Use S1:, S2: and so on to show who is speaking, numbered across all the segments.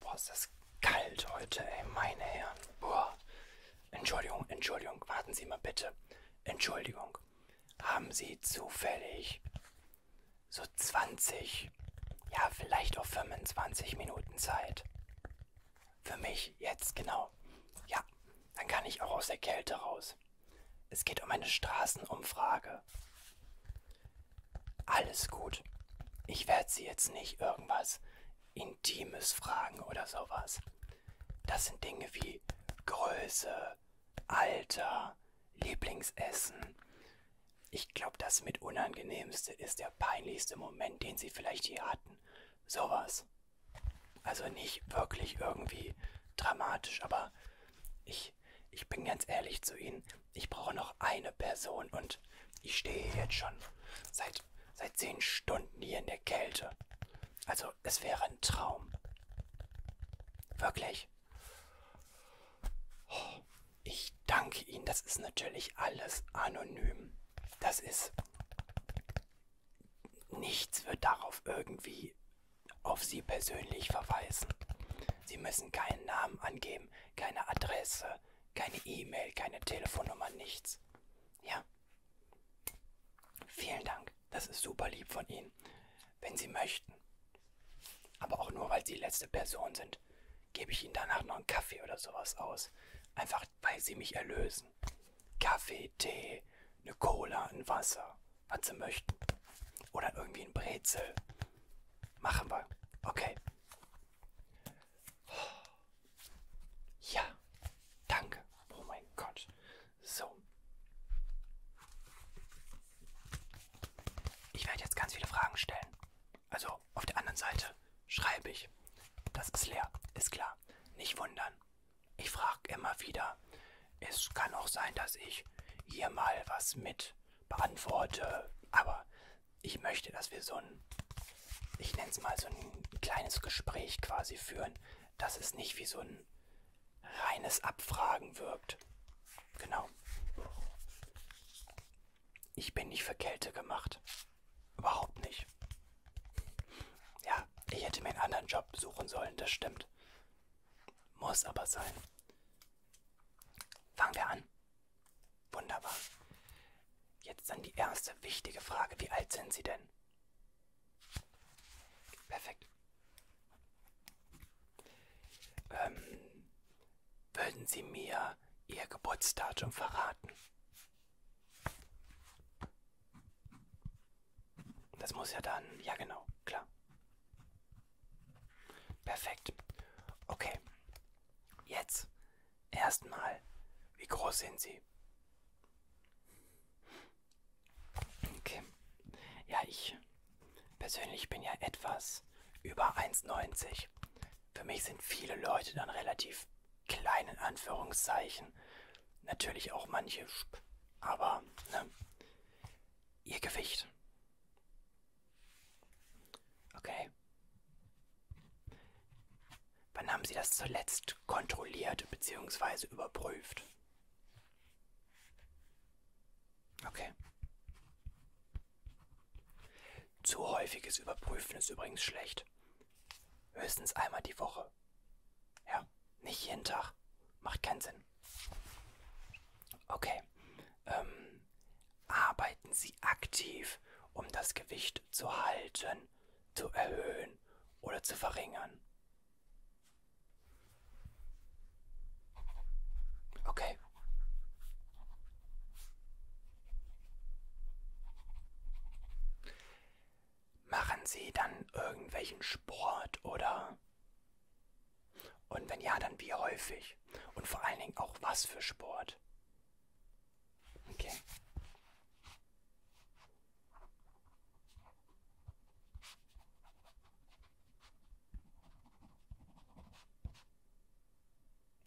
S1: Boah, ist das kalt heute, ey, meine Herren. Boah. Entschuldigung, Entschuldigung, warten Sie mal bitte. Entschuldigung. Haben Sie zufällig so 20, ja, vielleicht auch 25 Minuten Zeit? Für mich jetzt, genau. Ja, dann kann ich auch aus der Kälte raus. Es geht um eine Straßenumfrage. Alles gut. Ich werde sie jetzt nicht irgendwas Intimes fragen oder sowas. Das sind Dinge wie Größe, Alter, Lieblingsessen. Ich glaube, das mit unangenehmste ist der peinlichste Moment, den sie vielleicht je hatten. Sowas. Also nicht wirklich irgendwie dramatisch, aber ich, ich bin ganz ehrlich zu Ihnen ich brauche noch eine Person und ich stehe jetzt schon seit, seit zehn Stunden hier in der Kälte. Also es wäre ein Traum. Wirklich. Oh, ich danke Ihnen. Das ist natürlich alles anonym. Das ist... Nichts wird darauf irgendwie auf Sie persönlich verweisen. Sie müssen keinen Namen angeben, keine Adresse, keine E-Mail, keine Telefonnummer, nichts. Ja. Vielen Dank. Das ist super lieb von Ihnen. Wenn Sie möchten. Aber auch nur, weil Sie die letzte Person sind, gebe ich Ihnen danach noch einen Kaffee oder sowas aus. Einfach, weil Sie mich erlösen. Kaffee, Tee, eine Cola, ein Wasser, was Sie möchten. Oder irgendwie ein Brezel. Machen wir. Okay. Ja, danke. Oh mein Gott. So. Ich werde jetzt ganz viele Fragen stellen. Also auf der anderen Seite schreibe ich. Das ist leer, ist klar. Nicht wundern. Ich frage immer wieder. Es kann auch sein, dass ich hier mal was mit beantworte. Aber ich möchte, dass wir so ein, ich nenne es mal so ein kleines Gespräch quasi führen, dass es nicht wie so ein reines Abfragen wirkt. Genau. Ich bin nicht für Kälte gemacht. Überhaupt nicht. Ja, ich hätte mir einen anderen Job suchen sollen, das stimmt. Muss aber sein. Fangen wir an. Wunderbar. Jetzt dann die erste wichtige Frage. Wie alt sind Sie denn? Perfekt. Ähm, würden Sie mir Ihr Geburtsdatum verraten? Das muss ja dann, ja genau, klar. Perfekt. Okay, Jetzt erstmal, wie groß sind Sie? Okay. Ja, ich persönlich bin ja etwas über 1,90. Für mich sind viele Leute dann relativ klein in Anführungszeichen. Natürlich auch manche, aber ne? Ihr Gewicht. Okay. Wann haben Sie das zuletzt kontrolliert bzw. überprüft? Okay. Zu häufiges Überprüfen ist übrigens schlecht. Höchstens einmal die Woche. Ja, nicht jeden Tag. Macht keinen Sinn. Okay. Ähm, dann arbeiten Sie aktiv, um das Gewicht zu halten, zu erhöhen oder zu verringern. Okay. Machen Sie dann irgendwelchen Sport oder? Und wenn ja, dann wie häufig? Und vor allen Dingen auch was für Sport? Okay.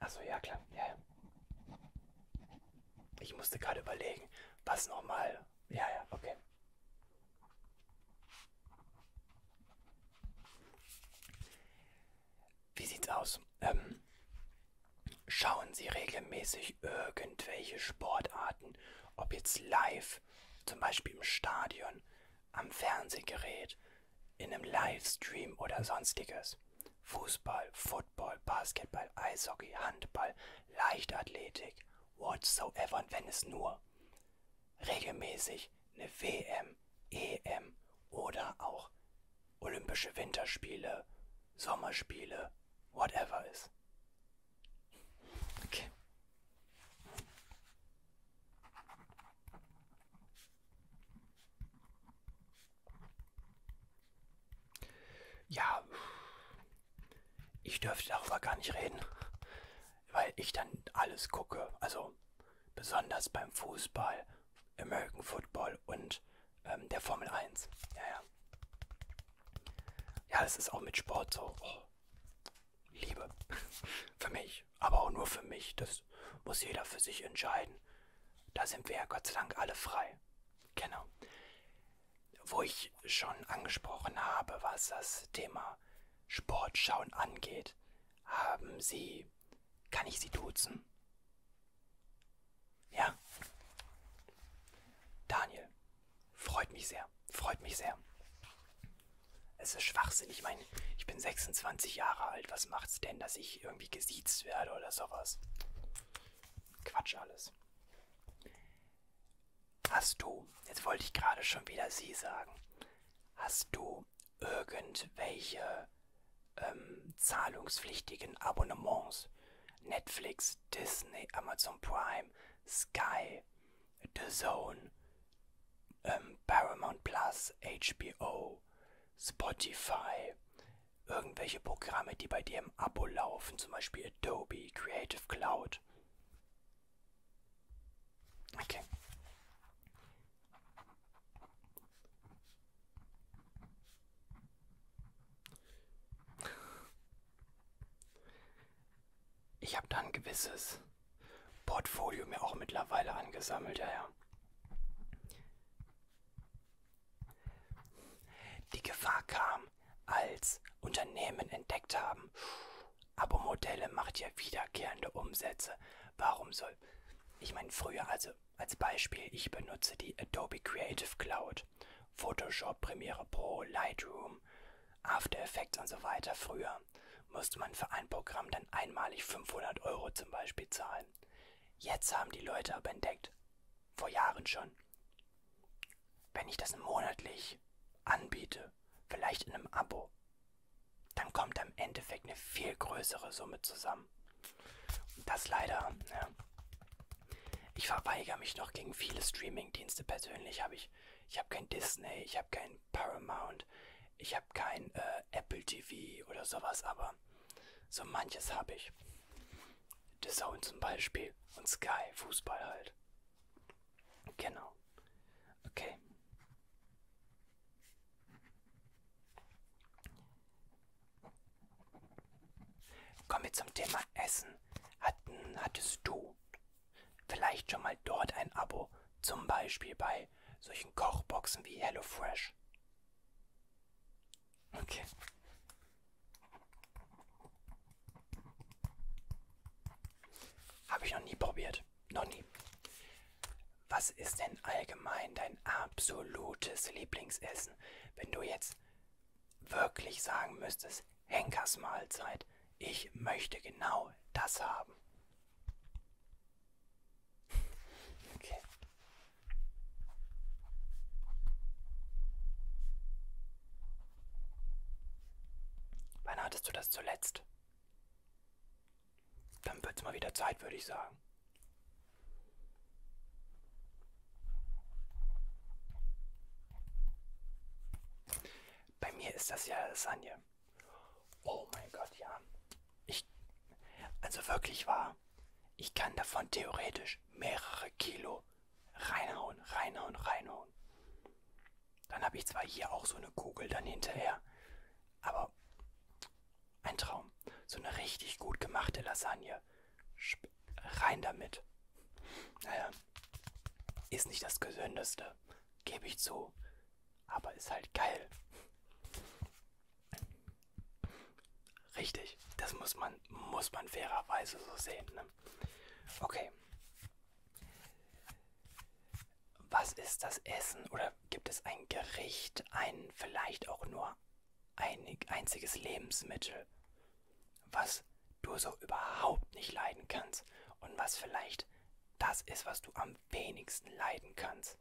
S1: Achso, ja klar, ja, ja. Ich musste gerade überlegen, was nochmal. Ja, ja, okay. Wie sieht's aus? Ähm, schauen Sie regelmäßig irgendwelche Sportarten, ob jetzt live, zum Beispiel im Stadion, am Fernsehgerät, in einem Livestream oder sonstiges. Fußball, Football, Basketball, Eishockey, Handball, Leichtathletik, whatsoever, und wenn es nur regelmäßig eine WM, EM oder auch Olympische Winterspiele, Sommerspiele, whatever ist. Okay. Ja, ich dürfte darüber gar nicht reden, weil ich dann alles gucke. Also besonders beim Fußball American Football und ähm, der Formel 1. Ja, ja. Ja, das ist auch mit Sport so. Oh, Liebe. für mich. Aber auch nur für mich. Das muss jeder für sich entscheiden. Da sind wir ja Gott sei Dank alle frei. Genau. Wo ich schon angesprochen habe, was das Thema Sportschauen angeht, haben Sie. Kann ich Sie duzen? Ja. Daniel, freut mich sehr. Freut mich sehr. Es ist Schwachsinn. Ich meine, ich bin 26 Jahre alt. Was macht's denn, dass ich irgendwie gesiezt werde oder sowas? Quatsch alles. Hast du, jetzt wollte ich gerade schon wieder sie sagen, hast du irgendwelche ähm, zahlungspflichtigen Abonnements. Netflix, Disney, Amazon Prime, Sky, The Zone, ähm, Paramount Plus, HBO, Spotify, irgendwelche Programme, die bei dir im Abo laufen, zum Beispiel Adobe, Creative Cloud. Okay. Ich habe da ein gewisses Portfolio mir auch mittlerweile angesammelt, ja, ja. Die Gefahr kam, als Unternehmen entdeckt haben, Abo-Modelle macht ja wiederkehrende Umsätze. Warum soll... Ich meine, früher, also als Beispiel, ich benutze die Adobe Creative Cloud, Photoshop, Premiere Pro, Lightroom, After Effects und so weiter. Früher musste man für ein Programm dann einmalig 500 Euro zum Beispiel zahlen. Jetzt haben die Leute aber entdeckt, vor Jahren schon, wenn ich das monatlich anbiete, vielleicht in einem Abo, dann kommt am Endeffekt eine viel größere Summe zusammen. Und das leider, ja. Ich verweigere mich noch gegen viele Streaming-Dienste persönlich. Hab ich ich habe kein Disney, ich habe kein Paramount, ich habe kein äh, Apple TV oder sowas, aber so manches habe ich. The Zone zum Beispiel und Sky, Fußball halt. Genau. Okay. Kommen wir zum Thema Essen. Hatten, hattest du vielleicht schon mal dort ein Abo, zum Beispiel bei solchen Kochboxen wie HelloFresh? Okay. Habe ich noch nie probiert. Noch nie was ist denn allgemein dein absolutes Lieblingsessen, wenn du jetzt wirklich sagen müsstest, Henkers Mahlzeit, ich möchte genau das haben? Okay. Wann hattest du das zuletzt? Dann wird's mal wieder Zeit, würde ich sagen. Bei mir ist das ja Lasagne. Oh mein Gott, ja. Ich, also wirklich wahr. Ich kann davon theoretisch mehrere Kilo reinhauen, reinhauen, reinhauen. Dann habe ich zwar hier auch so eine Kugel dann hinterher, aber ein Traum. So eine richtig gut gemachte Lasagne. Sp rein damit. Naja, ist nicht das Gesündeste, gebe ich zu. Aber ist halt geil. Richtig, das muss man, muss man fairerweise so sehen. Ne? Okay. Was ist das Essen? Oder gibt es ein Gericht, ein vielleicht auch nur einig, einziges Lebensmittel, was du so überhaupt nicht leiden kannst und was vielleicht das ist, was du am wenigsten leiden kannst.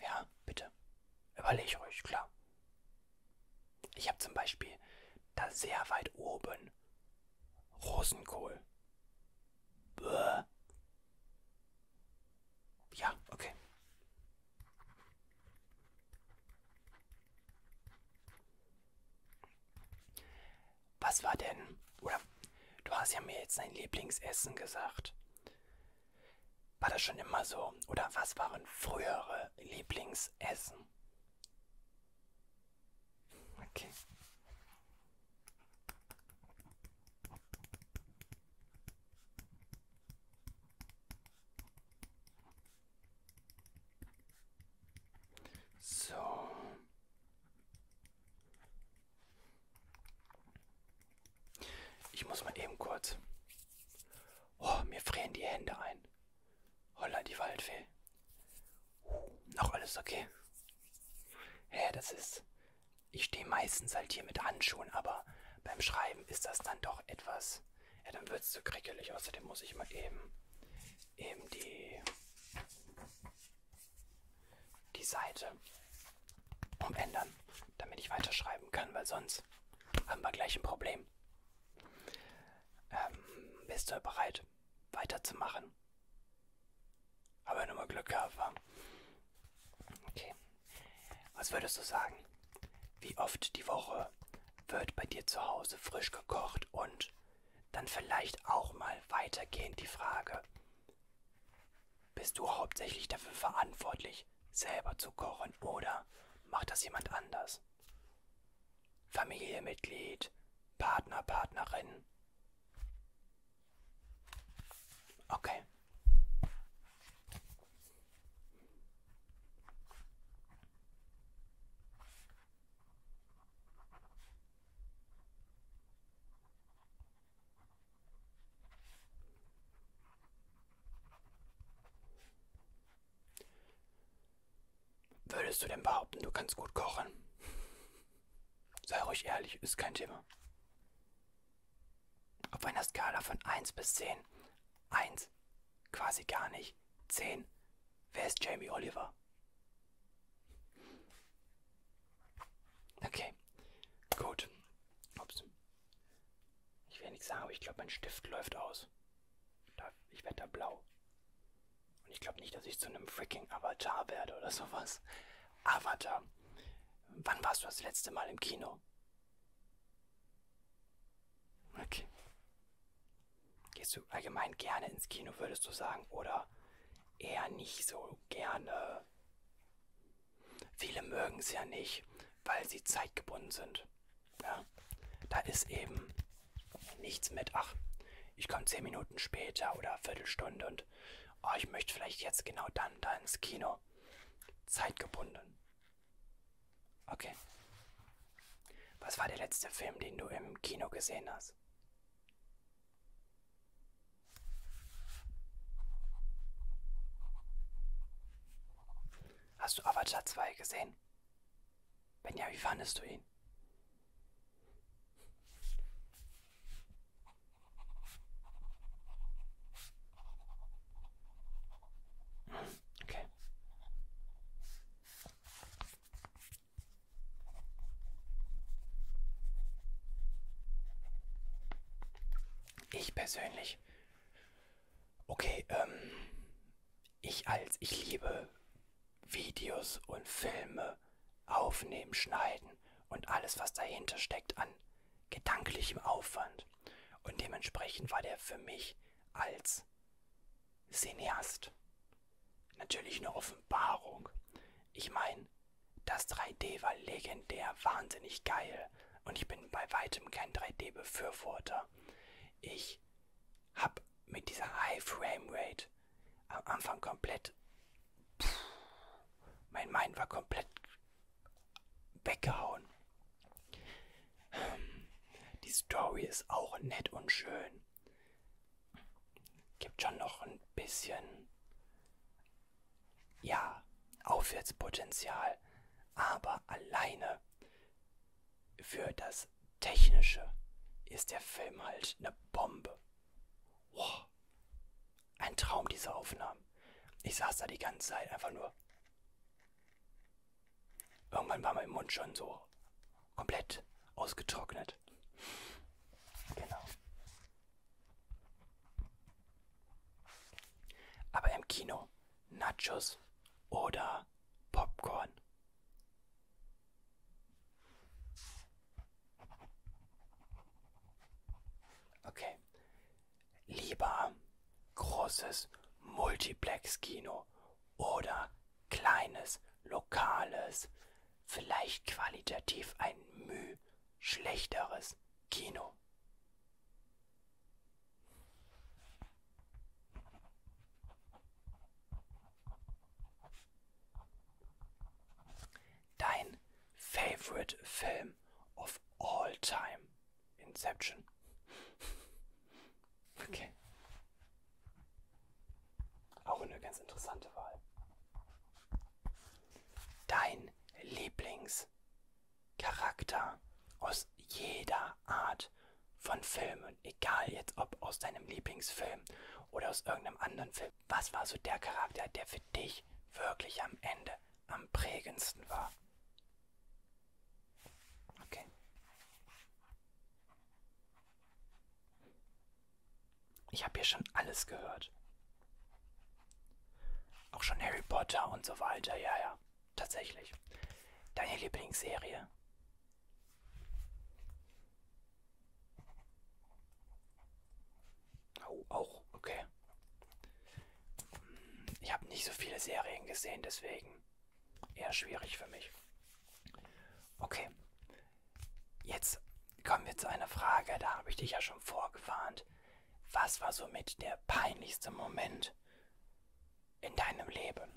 S1: Ja, bitte. Überleg ruhig, klar. Ich habe zum Beispiel da sehr weit oben Rosenkohl. Ja, okay. Was war denn? Oder du hast ja mir jetzt dein Lieblingsessen gesagt. War das schon immer so? Oder was waren frühere Lieblingsessen? Okay. So. Ich muss mal eben kurz. Oh, mir frieren die Hände ein. Holla, die Waldfee. Uh, noch alles okay? Hä, hey, das ist. Ich stehe meistens halt hier mit Handschuhen, aber beim Schreiben ist das dann doch etwas. Ja, dann wird es zu krickelig. Außerdem muss ich mal eben, eben die, die Seite umändern, damit ich weiterschreiben kann, weil sonst haben wir gleich ein Problem. Ähm, bist du bereit, weiterzumachen? Haben wir nochmal Glück gehabt, war. Okay. Was würdest du sagen? Wie oft die Woche wird bei dir zu Hause frisch gekocht und dann vielleicht auch mal weitergehend die Frage, bist du hauptsächlich dafür verantwortlich, selber zu kochen oder macht das jemand anders? Familienmitglied, Partner, Partnerin. Okay. Würdest du denn behaupten, du kannst gut kochen? Sei ruhig ehrlich, ist kein Thema auf einer Skala von 1 bis 10. 1 quasi gar nicht. 10. Wer ist Jamie Oliver? Okay, gut. Ups. Ich will nichts sagen, aber ich glaube, mein Stift läuft aus. Ich werde da blau. Und ich glaube nicht, dass ich zu einem freaking Avatar werde oder sowas. Avatar. Ah, Wann warst du das letzte Mal im Kino? Okay. Gehst du allgemein gerne ins Kino, würdest du sagen, oder eher nicht so gerne? Viele mögen es ja nicht, weil sie zeitgebunden sind. Ja? Da ist eben nichts mit, ach, ich komme zehn Minuten später oder Viertelstunde und oh, ich möchte vielleicht jetzt genau dann da ins Kino nur zeitgebunden. Okay. Was war der letzte Film, den du im Kino gesehen hast? Hast du Avatar 2 gesehen? Wenn ja, wie fandest du ihn? Okay. Ich persönlich. Okay, ähm, ich als ich liebe Videos und Filme aufnehmen, schneiden und alles, was dahinter steckt, an gedanklichem Aufwand. Und dementsprechend war der für mich als Cineast natürlich eine Offenbarung. Ich meine, das 3D war legendär, wahnsinnig geil. Und ich bin bei weitem kein 3D-Befürworter. Ich habe mit dieser High Frame Rate am Anfang komplett. Pff, mein Mind war komplett weggehauen. Ähm, die Story ist auch nett und schön. Gibt schon noch ein bisschen, ja, Aufwärtspotenzial, aber alleine für das Technische ist der Film halt eine Bombe. Wow. Ein Traum, diese Aufnahmen. Ich saß da die ganze Zeit einfach nur. Irgendwann war mein Mund schon so komplett ausgetrocknet. Genau. Aber im Kino Nachos oder Popcorn. Okay, Lieber großes Multiplex-Kino oder kleines, lokales, vielleicht qualitativ ein Müh schlechteres Kino dein favorite Film of all time? Inception. Okay. Auch eine ganz interessante Wahl. Dein Lieblingscharakter aus jeder Art von Filmen, egal jetzt ob aus deinem Lieblingsfilm oder aus irgendeinem anderen Film. Was war so der Charakter, der für dich wirklich am Ende am prägendsten war. Okay. Ich habe hier schon alles gehört. Auch schon Harry Potter und so weiter. Ja, ja, tatsächlich. Deine Lieblingsserie? Oh, auch, okay. Hm, ich habe nicht so viele Serien gesehen, deswegen eher schwierig für mich. Okay. Jetzt kommen wir zu einer Frage, da habe ich dich ja schon vorgewarnt. Was war somit der peinlichste Moment in deinem Leben?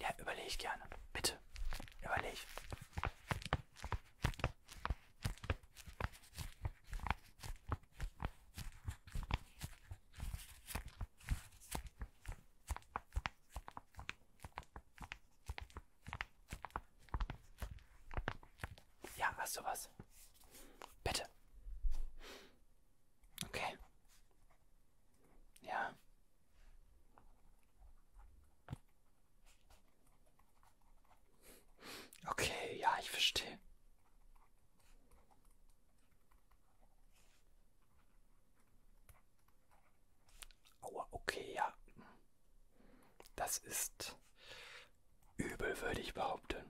S1: Ja, überleg gerne. Bitte. Überleg. Ja, hast du was? Bitte. Okay. Ja. Okay, ja, ich verstehe. Aua, okay, ja. Das ist übel, würde ich behaupten.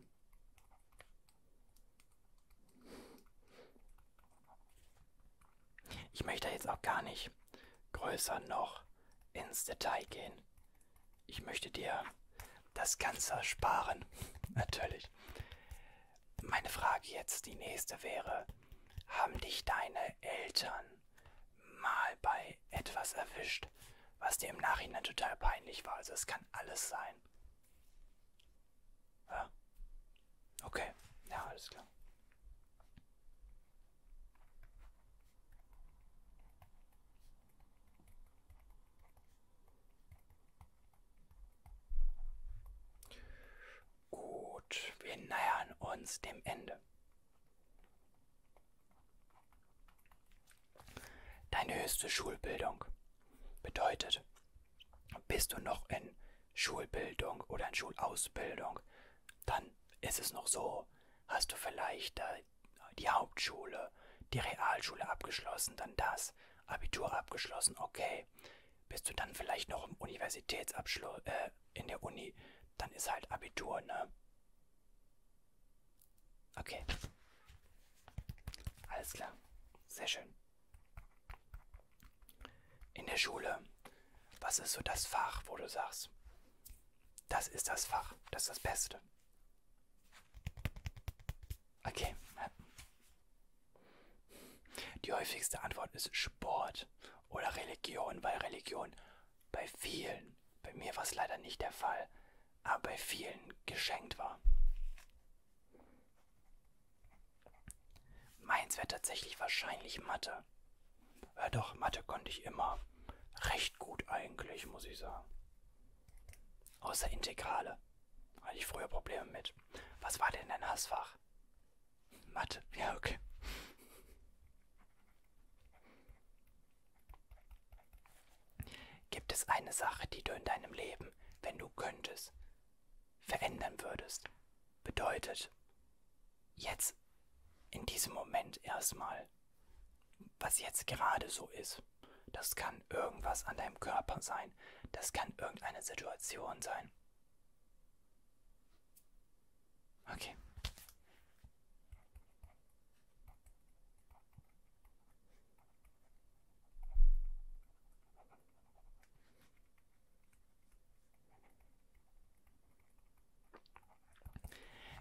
S1: Ich möchte jetzt auch gar nicht größer noch ins Detail gehen. Ich möchte dir das Ganze sparen, natürlich. Meine Frage jetzt, die nächste wäre, haben dich deine Eltern mal bei etwas erwischt, was dir im Nachhinein total peinlich war? Also es kann alles sein. Ja? Okay, ja, alles klar. Gut, wir nähern uns dem Ende. Deine höchste Schulbildung bedeutet, bist du noch in Schulbildung oder in Schulausbildung, dann ist es noch so, Hast du vielleicht äh, die Hauptschule, die Realschule abgeschlossen, dann das, Abitur abgeschlossen, okay. Bist du dann vielleicht noch im Universitätsabschluss, äh, in der Uni, dann ist halt Abitur, ne? Okay. Alles klar. Sehr schön. In der Schule, was ist so das Fach, wo du sagst, das ist das Fach. Das ist das Beste. Okay. Die häufigste Antwort ist Sport oder Religion, weil Religion bei vielen, bei mir war es leider nicht der Fall, aber bei vielen geschenkt war. Meins wäre tatsächlich wahrscheinlich Mathe. Ja, doch, Mathe konnte ich immer. Recht gut eigentlich, muss ich sagen. Außer Integrale. Hatte ich früher Probleme mit. Was war denn dein Hassfach? Mathe. Ja, okay. Gibt es eine Sache, die du in deinem Leben, wenn du könntest, verändern würdest? Bedeutet, jetzt in diesem Moment erstmal, was jetzt gerade so ist. Das kann irgendwas an deinem Körper sein. Das kann irgendeine Situation sein. Okay.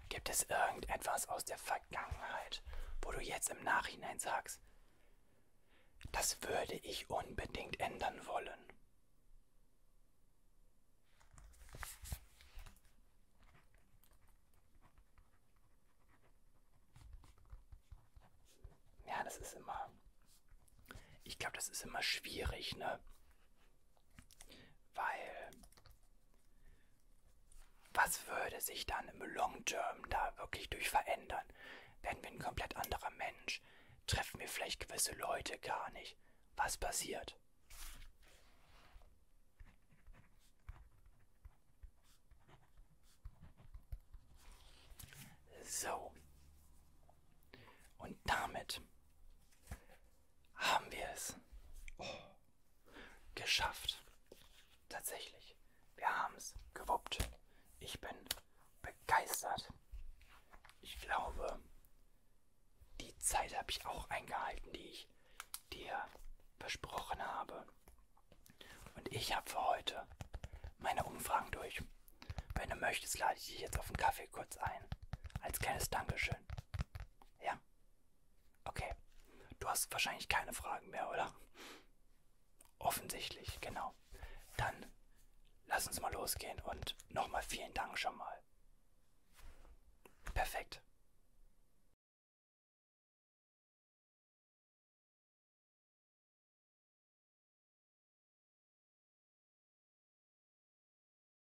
S1: Gibt es irgendetwas aus der Vergangenheit, wo du jetzt im Nachhinein sagst, das würde ich unbedingt ändern wollen? Ja, das ist immer. Ich glaube, das ist immer schwierig, ne? Weil was würde sich dann im Long Term da wirklich durch verändern? Werden wir ein komplett anderer Mensch? Treffen wir vielleicht gewisse Leute gar nicht? Was passiert? So. Und damit haben wir es oh. geschafft. Tatsächlich, wir haben es gewuppt. Ich bin begeistert. Ich glaube, die Zeit habe ich auch eingehalten, die ich dir versprochen habe. Und ich habe für heute meine Umfragen durch. Wenn du möchtest, lade ich dich jetzt auf einen Kaffee kurz ein. Als kleines Dankeschön. Ja. Okay. Du hast wahrscheinlich keine Fragen mehr, oder? Offensichtlich, genau. Dann lass uns mal losgehen und nochmal vielen Dank schon mal. Perfekt.